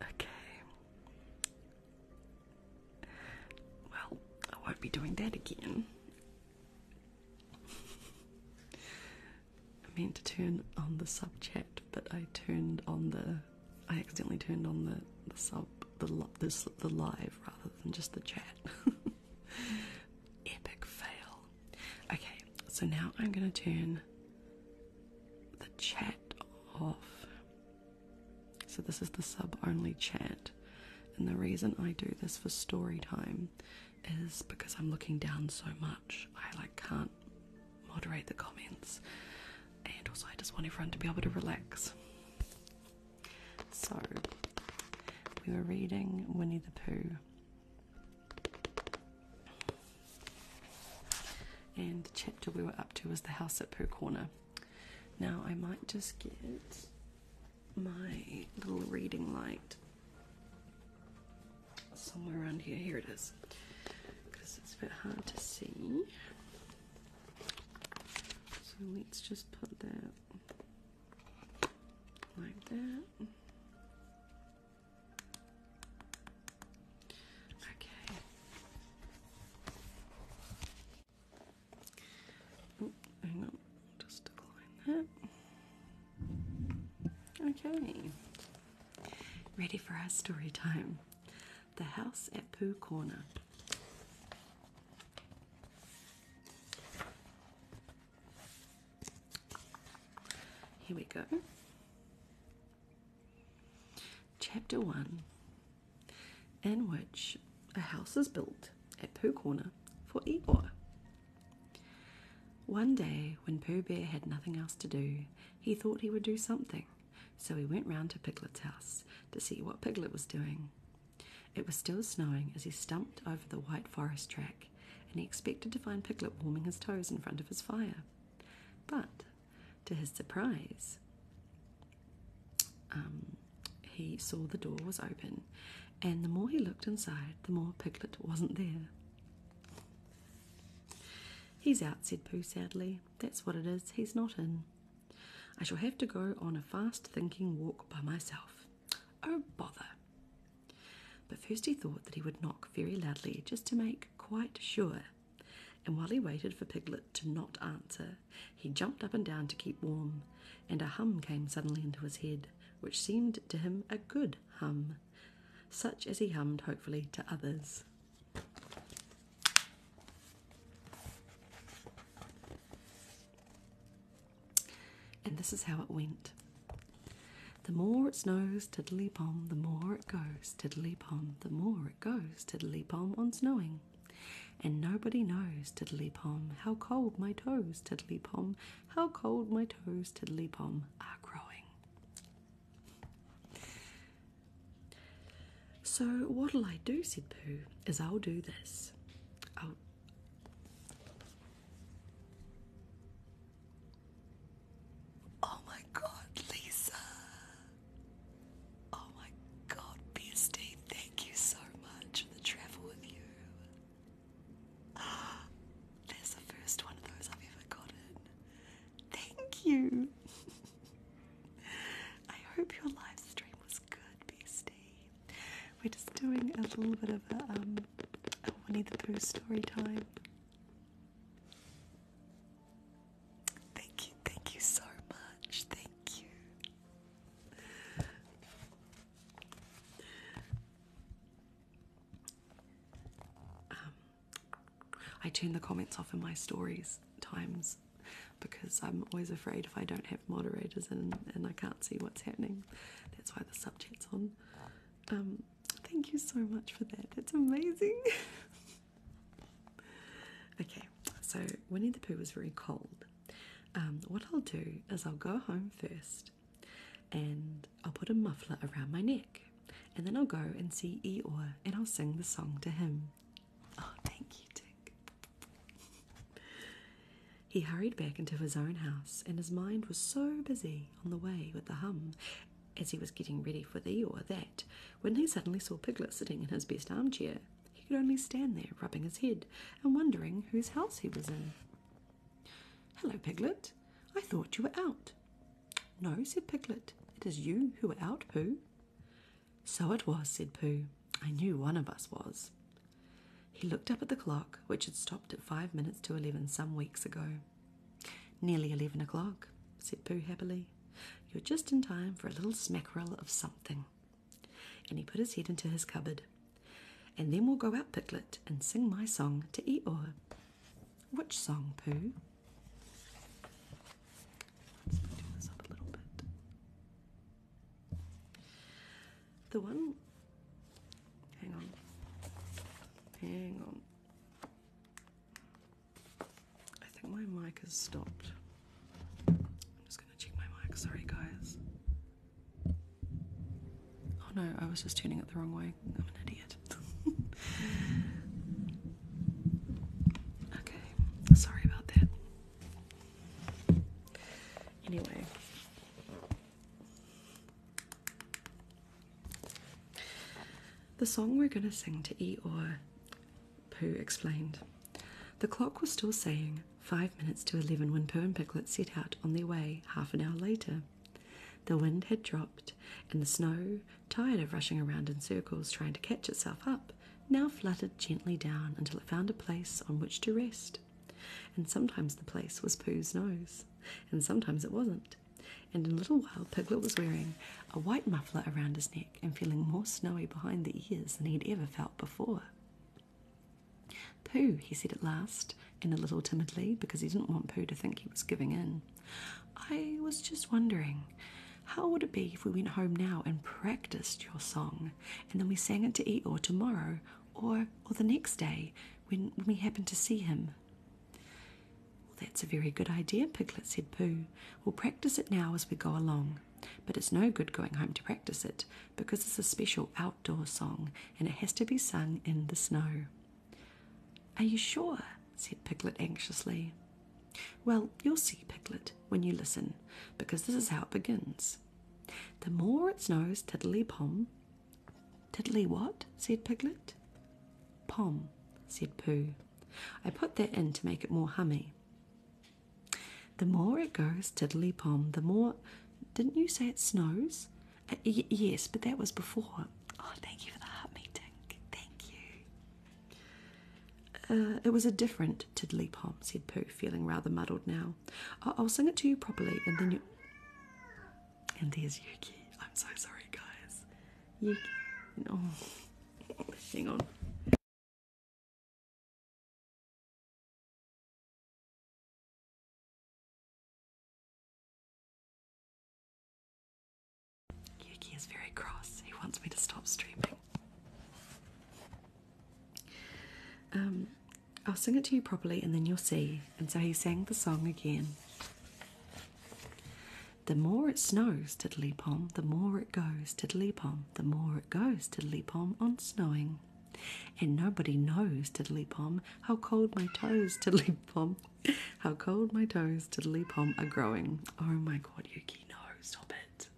Okay. Well, I won't be doing that again. I meant to turn on the sub chat, but I turned on the I accidentally turned on the, sub, the live rather than just the chat. Epic fail. Okay, so now I'm going to turn the chat off. So this is the sub only chat. And the reason I do this for story time is because I'm looking down so much. I like can't moderate the comments, and also I just want everyone to be able to relax. So, we were reading Winnie the Pooh, and the chapter we were up to was The House at Pooh Corner. Now, I might just get my little reading light somewhere around here. Here it is because it's a bit hard to see. So let's just put that like that. Okay. hang on, just decline that. Okay. Ready for our story time. The House at Pooh Corner. Here we go. Chapter 1 In which a house is built at Pooh Corner for Eeyore. One day, when Pooh Bear had nothing else to do, he thought he would do something. So he went round to Piglet's house to see what Piglet was doing. It was still snowing as he stumped over the white forest track, and he expected to find Piglet warming his toes in front of his fire. But, to his surprise, um, he saw the door was open, and the more he looked inside, the more Piglet wasn't there. He's out, said Pooh sadly. That's what it is, he's not in. I shall have to go on a fast thinking walk by myself. Oh, bother! But first he thought that he would knock very loudly just to make quite sure. And while he waited for Piglet to not answer, he jumped up and down to keep warm, and a hum came suddenly into his head, which seemed to him a good hum, such as he hummed hopefully to others. And this is how it went. The more it snows, tiddly pom, the more it goes, tiddly pom, the more it goes, tiddly pom on snowing. And nobody knows, tiddly pom, how cold my toes, tiddly pom, how cold my toes, tiddly pom, are growing. So, what'll I do, said Pooh, is I'll do this. Oh my god, Lisa! Oh my god, BSD, thank you so much for the travel with you. Ah, that's the first one of those I've ever gotten. Thank you. I hope your live was good, Beastie. We're just doing a little bit of a, um, a Winnie the Pooh story time. Thank you, thank you so much. Thank you. Um, I turn the comments off in my stories times because I'm always afraid if I don't have moderators in and I can't see what's happening. That's why the subject's on. Um, thank you so much for that. That's amazing. okay, so Winnie the Pooh was very cold. Um, what I'll do is I'll go home first and I'll put a muffler around my neck, and then I'll go and see Eeyore and I'll sing the song to him. Oh, thank you, Dick. he hurried back into his own house, and his mind was so busy on the way with the hum as he was getting ready for the or that when he suddenly saw Piglet sitting in his best armchair, he could only stand there rubbing his head and wondering whose house he was in. Hello, Piglet. I thought you were out. No, said Piglet, it is you who are out, Pooh. So it was, said Pooh. I knew one of us was. He looked up at the clock, which had stopped at five minutes to eleven some weeks ago. Nearly eleven o'clock, said Pooh happily. You're just in time for a little smackerel of something. And he put his head into his cupboard. And then we'll go out, Piglet, and sing my song to Eeyore. Which song, Pooh? Let's do this up a little bit. The one. Hang on. Hang on. I think my mic has stopped. I'm just going to check my mic. Sorry, guys. Oh no, I was just turning it the wrong way. I, am an idiot. okay, sorry about that. Anyway, the song we're going to sing to Eeyore, Pooh explained. The clock was still saying five minutes to eleven when Pooh and Piglet set out on their way half an hour later. The wind had dropped, and the snow tired of rushing around in circles trying to catch itself up, now fluttered gently down until it found a place on which to rest. And sometimes the place was Pooh's nose, and sometimes it wasn't. And in a little while, Piglet was wearing a white muffler around his neck and feeling more snowy behind the ears than he had ever felt before. Pooh, he said at last, in a little timidly, because he didn't want Pooh to think he was giving in. I was just wondering, how would it be if we went home now and practiced your song, and then we sang it to Eeyore tomorrow or or the next day when, when we happen to see him? Well, that's a very good idea, Piglet said Pooh. We'll practice it now as we go along. But it's no good going home to practice it because it's a special outdoor song and it has to be sung in the snow. Are you sure? said Piglet anxiously. Well, you'll see, Piglet, when you listen, because this is how it begins. The more it snows, tiddly pom. Tiddly what? said Piglet. Pom, said Pooh. I put that in to make it more hummy. The more it goes, tiddly pom, the more. Didn't you say it snows? yes, but that was before. Oh, thank you for the heart meeting. Thank you. Uh, it was a different tiddly pom, said Pooh, feeling rather muddled now. I will sing it to you properly, and then you. And there's Yuki. I'm so sorry, guys. Yuki. No. Hang on. Yuki is very cross. He wants me to stop streaming. Um, I'll sing it to you properly and then you'll see. And so he sang the song again. The more it snows, tiddly pom, the more it goes, tiddly pom, the more it goes, tiddly pom, on snowing. And nobody knows, tiddly pom, how cold my toes, tiddly pom, How cold my toes, tiddly pom, are growing. Oh my god, Yuki, no, stop it.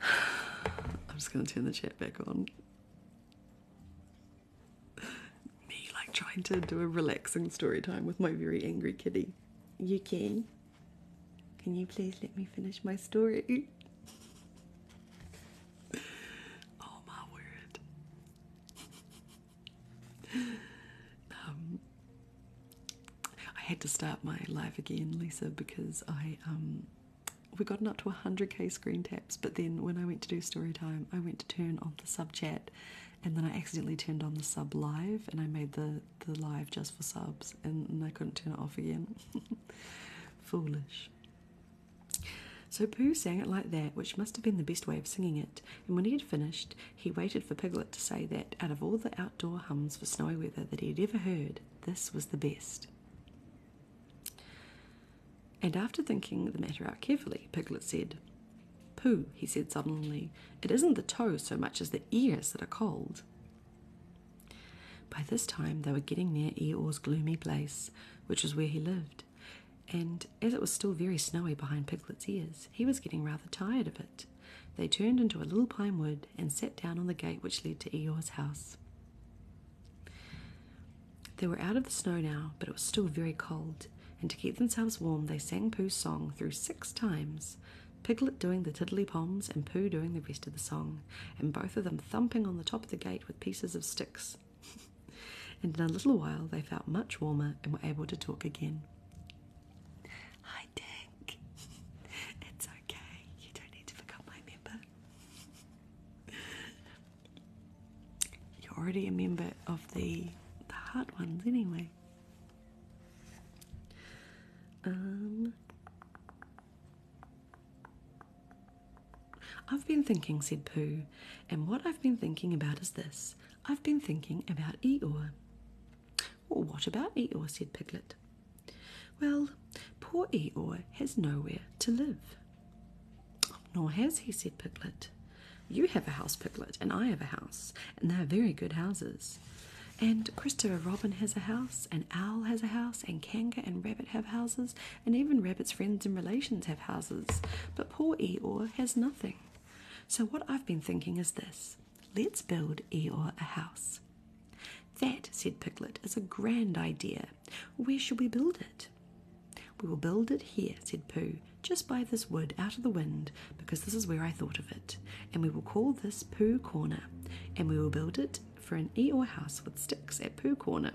I'm just gonna turn the chat back on. Me, like, trying to do a relaxing story time with my very angry kitty. Yuki, can you please let me finish my story? oh my word. um, I had to start my live again, Lisa, because I um, we gotten up to 100k screen taps, but then when I went to do story time, I went to turn off the sub chat, and then I accidentally turned on the sub live, and I made the the live just for subs, and I couldn't turn it off again. Foolish. So Pooh sang it like that, which must have been the best way of singing it, and when he had finished, he waited for Piglet to say that, out of all the outdoor hums for snowy weather that he had ever heard, this was the best. And after thinking the matter out carefully, Piglet said, Pooh, he said suddenly, it isn't the toes so much as the ears that are cold. By this time, they were getting near Eor's gloomy place, which was where he lived, and as it was still very snowy behind Piglet's ears, he was getting rather tired of it. They turned into a little pine wood and sat down on the gate which led to Eor's house. They were out of the snow now, but it was still very cold, and to keep themselves warm, they sang Pooh's song through six times, Piglet doing the tiddly poms and Pooh doing the rest of the song and both of them thumping on the top of the gate with pieces of sticks. and in a little while they felt much warmer and were able to talk again. Hi, Dick. it's okay. You don't need to become my member. You're already a member of the the hard ones anyway. Um I've been thinking, said Pooh, and what I've been thinking about is this. I've been thinking about Eeyore. Well, what about Eeyore? said Piglet. Well, poor Eeyore has nowhere to live. Nor has he, said Piglet. You have a house, Piglet, and I have a house, and they are very good houses. And Christopher Robin has a house, and owl has a house, and Kanga and Rabbit have houses, and even Rabbit's friends and relations have houses. But poor Eeyore has nothing. So, what I've been thinking is this let's build Eeyore a house. That, said Piglet, is a grand idea. Where shall we build it? We will build it here, said Pooh, just by this wood out of the wind, because this is where I thought of it. And we will call this Pooh Corner, and we will build it for an e or house with sticks at Pooh Corner.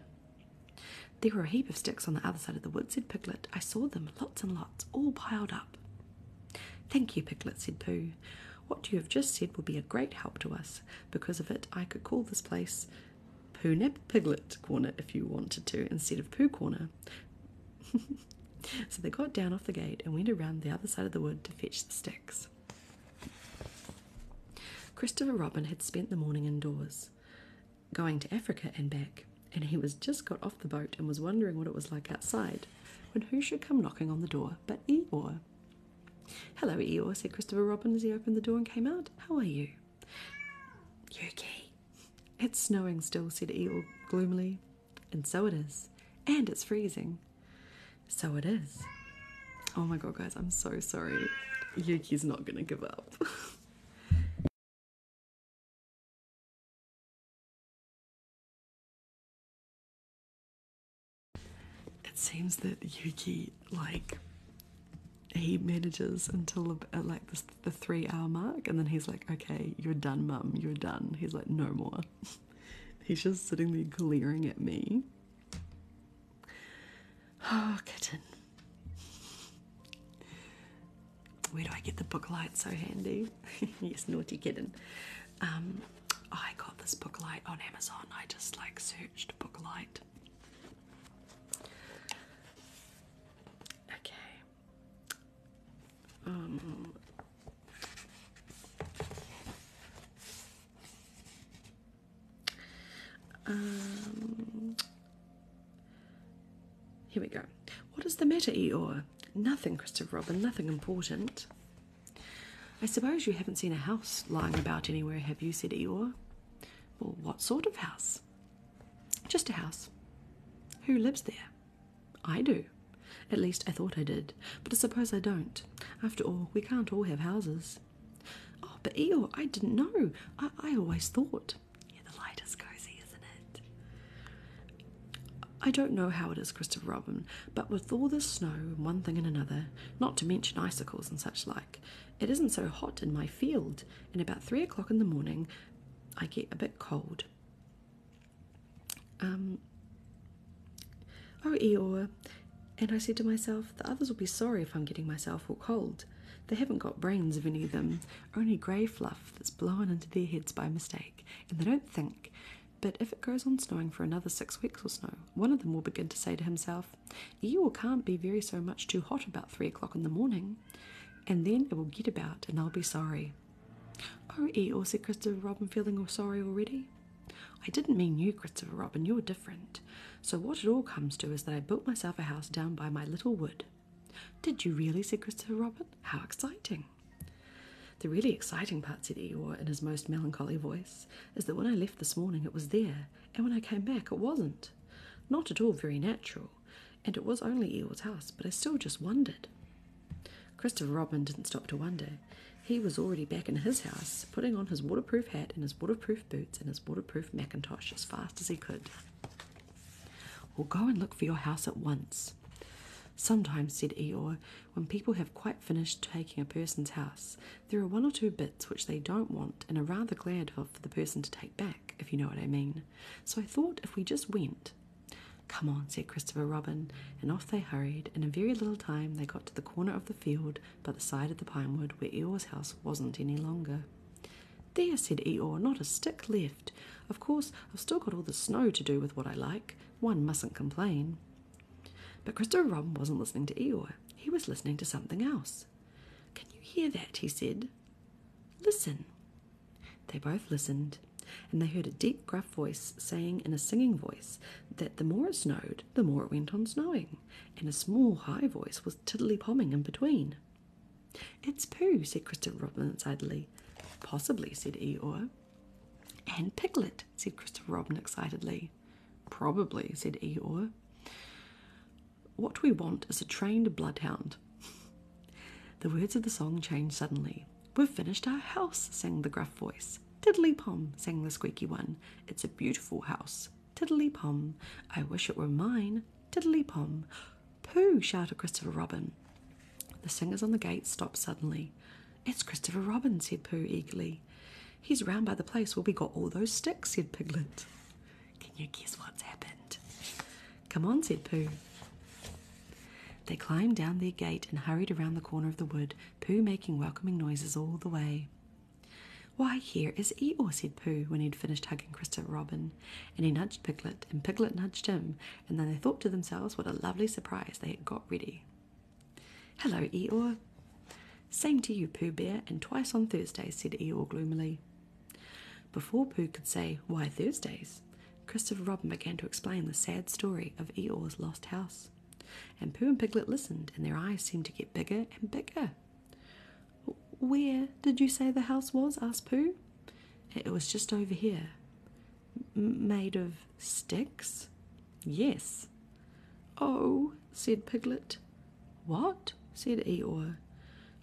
There were a heap of sticks on the other side of the wood, said Piglet. I saw them, lots and lots, all piled up. Thank you, Piglet, said Pooh. What you have just said will be a great help to us. Because of it, I could call this place Pooh Piglet Corner if you wanted to, instead of Pooh Corner. so they got down off the gate and went around the other side of the wood to fetch the sticks. Christopher Robin had spent the morning indoors, going to Africa and back, and he was just got off the boat and was wondering what it was like outside, when who should come knocking on the door but Eeyore. Hello, Eeyore, said Christopher Robin as he opened the door and came out. How are you? "Yucky," It's snowing still, said Eeyore gloomily. And so it is. And it's freezing. So it is. Oh my god, guys, I'm so sorry. Yuki's not gonna give up. it seems that Yuki, like, he manages until uh, like the, the three hour mark, and then he's like, Okay, you're done, mum, you're done. He's like, No more. he's just sitting there glaring at me Oh, kitten. Where do I get the book light so handy? yes, naughty kitten. Um, I got this book light on Amazon. I just like searched book light. Okay. Um, um, here we go. What is the matter, Eeyore? Nothing, Christopher Robin, nothing important. I suppose you haven't seen a house lying about anywhere, have you? said Eeyore. Well, what sort of house? Just a house. Who lives there? I do. At least I thought I did, but I suppose I don't. After all, we can't all have houses. Oh, but Eeyore, I didn't know. I, always thought. Yeah, the light is cozy, isn't it? I don't know how it is, Christopher Robin, but with all this snow and one thing and another, not to mention icicles and such like, it isn't so hot in my field, and about three o'clock in the morning I get a bit cold. Um Oh, Eeyore, and I said to myself, the others will be sorry if I'm getting myself all cold. They haven't got brains of any of them, only grey fluff that's blown into their heads by mistake, and they don't think. But if it goes on snowing for another six weeks or so, one of them will begin to say to himself, Eeyore can't be very so much too hot about three o'clock in the morning. And then it will get about, and i will be sorry. Oh, Eeyore, said Christopher Robin, feeling all sorry already. I didn't mean you, Christopher Robin, you are different. So, what it all comes to is that I built myself a house down by my little wood. Did you really, said Christopher Robin? How exciting! The really exciting part, said Eeyore in his most melancholy voice, is that when I left this morning it was there, and when I came back it wasn't. Not at all very natural, and it was only Eeyore's house, but I still just wondered. Christopher Robin didn't stop to wonder. He was already back in his house, putting on his waterproof hat and his waterproof boots and his waterproof mackintosh as fast as he could. Well, go and look for your house at once. Sometimes, said Eeyore, when people have quite finished taking a person's house, there are one or two bits which they don't want and are rather glad of for the person to take back, if you know what I mean. So I thought if we just went. Come on, Christopher Robin, and off they hurried. In a very little time, they got to the corner of the field by the side of the pine wood where Eeyore's house wasn't any longer. There, said Eeyore, not a stick left. Of course, I've still got all the snow to do with what I like. One mustn't complain. But Christopher Robin wasn't listening to Eeyore. He was listening to something else. Can you hear that? he said. Listen. They both listened, and they heard a deep deep, gruff voice saying in a singing voice that the more it snowed, the more it went on snowing, and a small, high voice was tiddly-pomming in between. It's Pooh, said Christopher Robin excitedly. Possibly, said Eeyore. And Piglet, said Christopher Robin excitedly. Probably, said Eeyore. What we want is a trained bloodhound. the words of the song changed suddenly. We've finished our house, sang the gruff voice. Tiddly pom, sang the squeaky one. It's a beautiful house. Tiddly pom. I wish it were mine. Tiddly pom. Pooh, shouted Christopher Robin. The singers on the gate stopped suddenly. It's Christopher Robin, said Pooh eagerly. He's round by the place where we got all those sticks, said Piglet. Can you guess what's happened? Come on, said Pooh. They climbed down their gate and hurried around the corner of the wood Pooh making welcoming noises all the way. Why, here is Eeyore, said Pooh when he'd finished hugging Christopher Robin, and he nudged Piglet, and Piglet nudged him, and then they thought to themselves what a lovely surprise they had got ready. Hello, Eeyore. Same to you, Pooh Bear, and twice on Thursdays, said Eeyore gloomily. Before Pooh could say, Why Thursdays? Christopher Robin began to explain the sad story of Eeyore's lost house. And Pooh and Piglet listened, and their eyes seemed to get bigger and bigger. Where did you say the house was? asked Pooh. It was just over here. made of sticks? Yes. Oh, said Piglet. What? said Eeyore.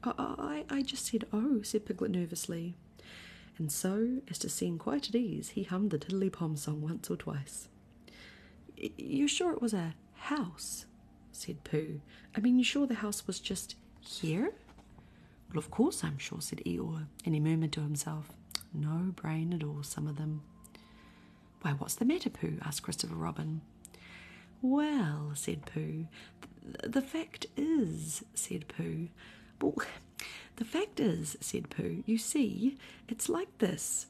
I, I, I just said oh, said Piglet nervously and so as to seem quite at ease, he hummed the Tiddlypom song once or twice. You're sure it was a house? said Pooh. I mean, you're sure the house was just here? Well, of course I'm sure, said Eeyore, and he murmured to himself, No brain at all, some of them. Why, what's the matter, Pooh? asked Christopher Robin. Well, said Pooh, the, the fact is, said Pooh, well, the fact is, said Pooh, you see, it's like this.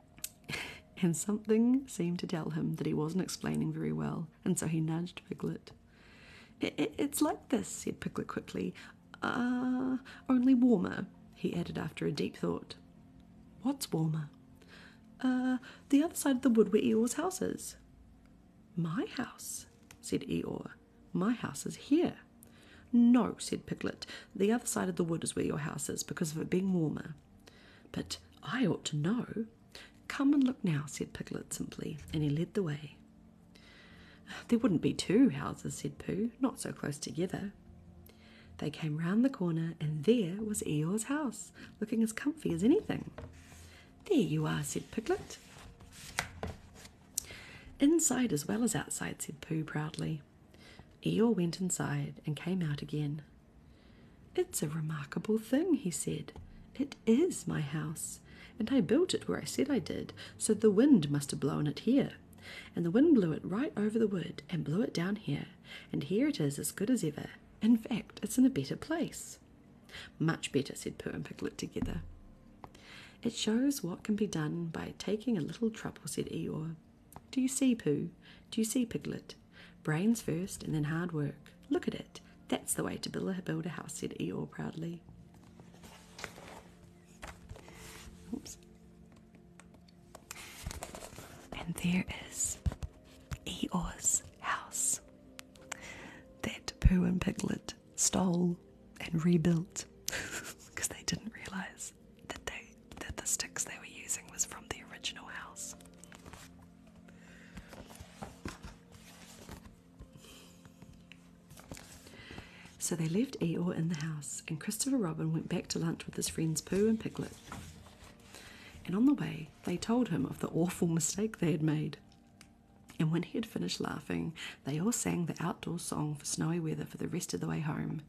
and something seemed to tell him that he wasn't explaining very well, and so he nudged Piglet. it's like this, said Piglet quickly. Ah, only warmer, he added after a deep thought. What's warmer? "Ah, the other side of the wood where Eeyore's house is. My house, said Eeyore. My house is here. No, said Piglet, the other side of the wood is where your house is because of it being warmer. But I ought to know. Come and look now, said Piglet simply, and he led the way. There wouldn't be two houses, said Pooh, not so close together. They came round the corner, and there was Eeyore's house, looking as comfy as anything. There you are, said Piglet. Inside as well as outside, said Pooh proudly. Eeyore went inside and came out again. It's a remarkable thing, he said. It is my house, and I built it where I said I did, so the wind must have blown it here. And the wind blew it right over the wood and blew it down here, and here it is as good as ever. In fact, it's in a better place. Much better, said Pooh and Piglet together. It shows what can be done by taking a little trouble, said Eeyore. Do you see, Pooh? Do you see, Piglet? Brains first and then hard work. Look at it. That's the way to build a house, said Eeyore proudly. And there is Eeyore's house that Pooh and Piglet stole, and rebuilt because they didn't realize that they that the sticks they were using was from the original house. So they left Eeyore in the house, and Christopher Robin went back to lunch with his friends Pooh and Piglet. And on the way, they told him of the awful mistake they had made and when he had finished laughing, they all sang the outdoor song for snowy weather for the rest of the way home.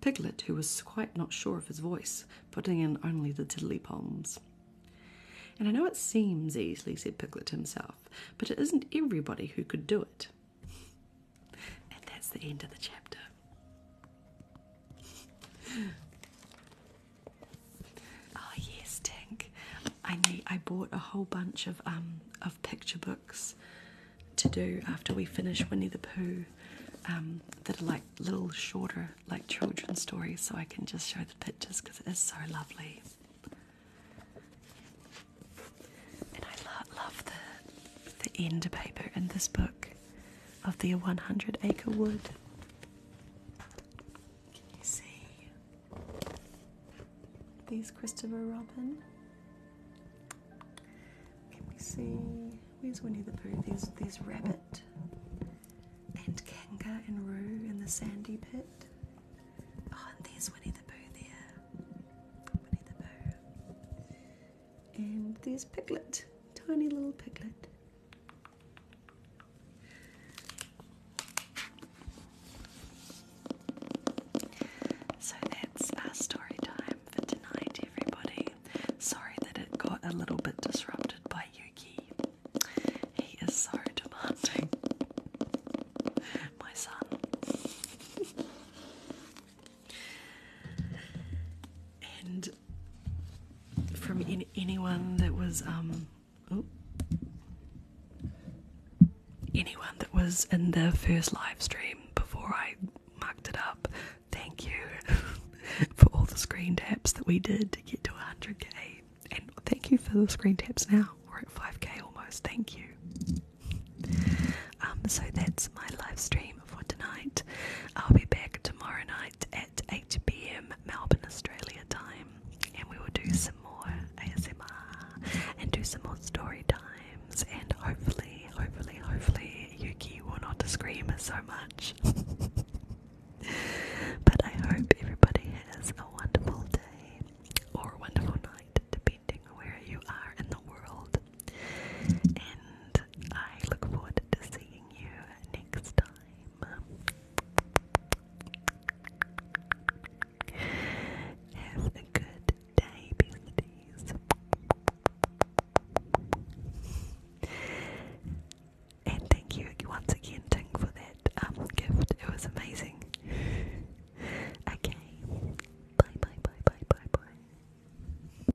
Piglet, who was quite not sure of his voice, putting in only the tiddly palms. And I know it seems easy, said Piglet to himself, but it isn't everybody who could do it. And that's the end of the chapter. oh, yes, Tink. I need I bought a whole bunch of um, of picture books to do after we finish Winnie the Pooh um, that are like little shorter like children's stories so I can just show the pictures because it is so lovely. And I love the the end paper in this book of the 100 acre wood. Can you see? There's Christopher Robin. Can we see? Where's Winnie the Pooh? There's, there's Rabbit and Kanga and Roo in the sandy pit. Oh, and there's Winnie the Pooh there. Winnie the Pooh. And there's Piglet. Tiny little Piglet. So that's our story time for tonight, everybody. Sorry that it got a little bit disrupted by Yuki. He is so demanding. My son. and from in anyone that was um Anyone that was in the first live stream before I mucked it up, thank you for all the screen taps that we did to get to 100k. And thank you for the screen taps now. We're at 5k almost. Thank you. Um, so that's my live stream for tonight. I'll be back tomorrow night at 8 pm Melbourne, Australia time and we will do some more ASMR and do some more story times. And hopefully, hopefully, hopefully, Yuki will not scream so much. but I hope everybody has a wonderful day or wonderful night, depending where you are in the world. And I look forward to seeing you next time. Have a good day, And thank you once again, Ting, for that um, gift. It was amazing. Okay. Bye, bye, bye, bye, bye, bye.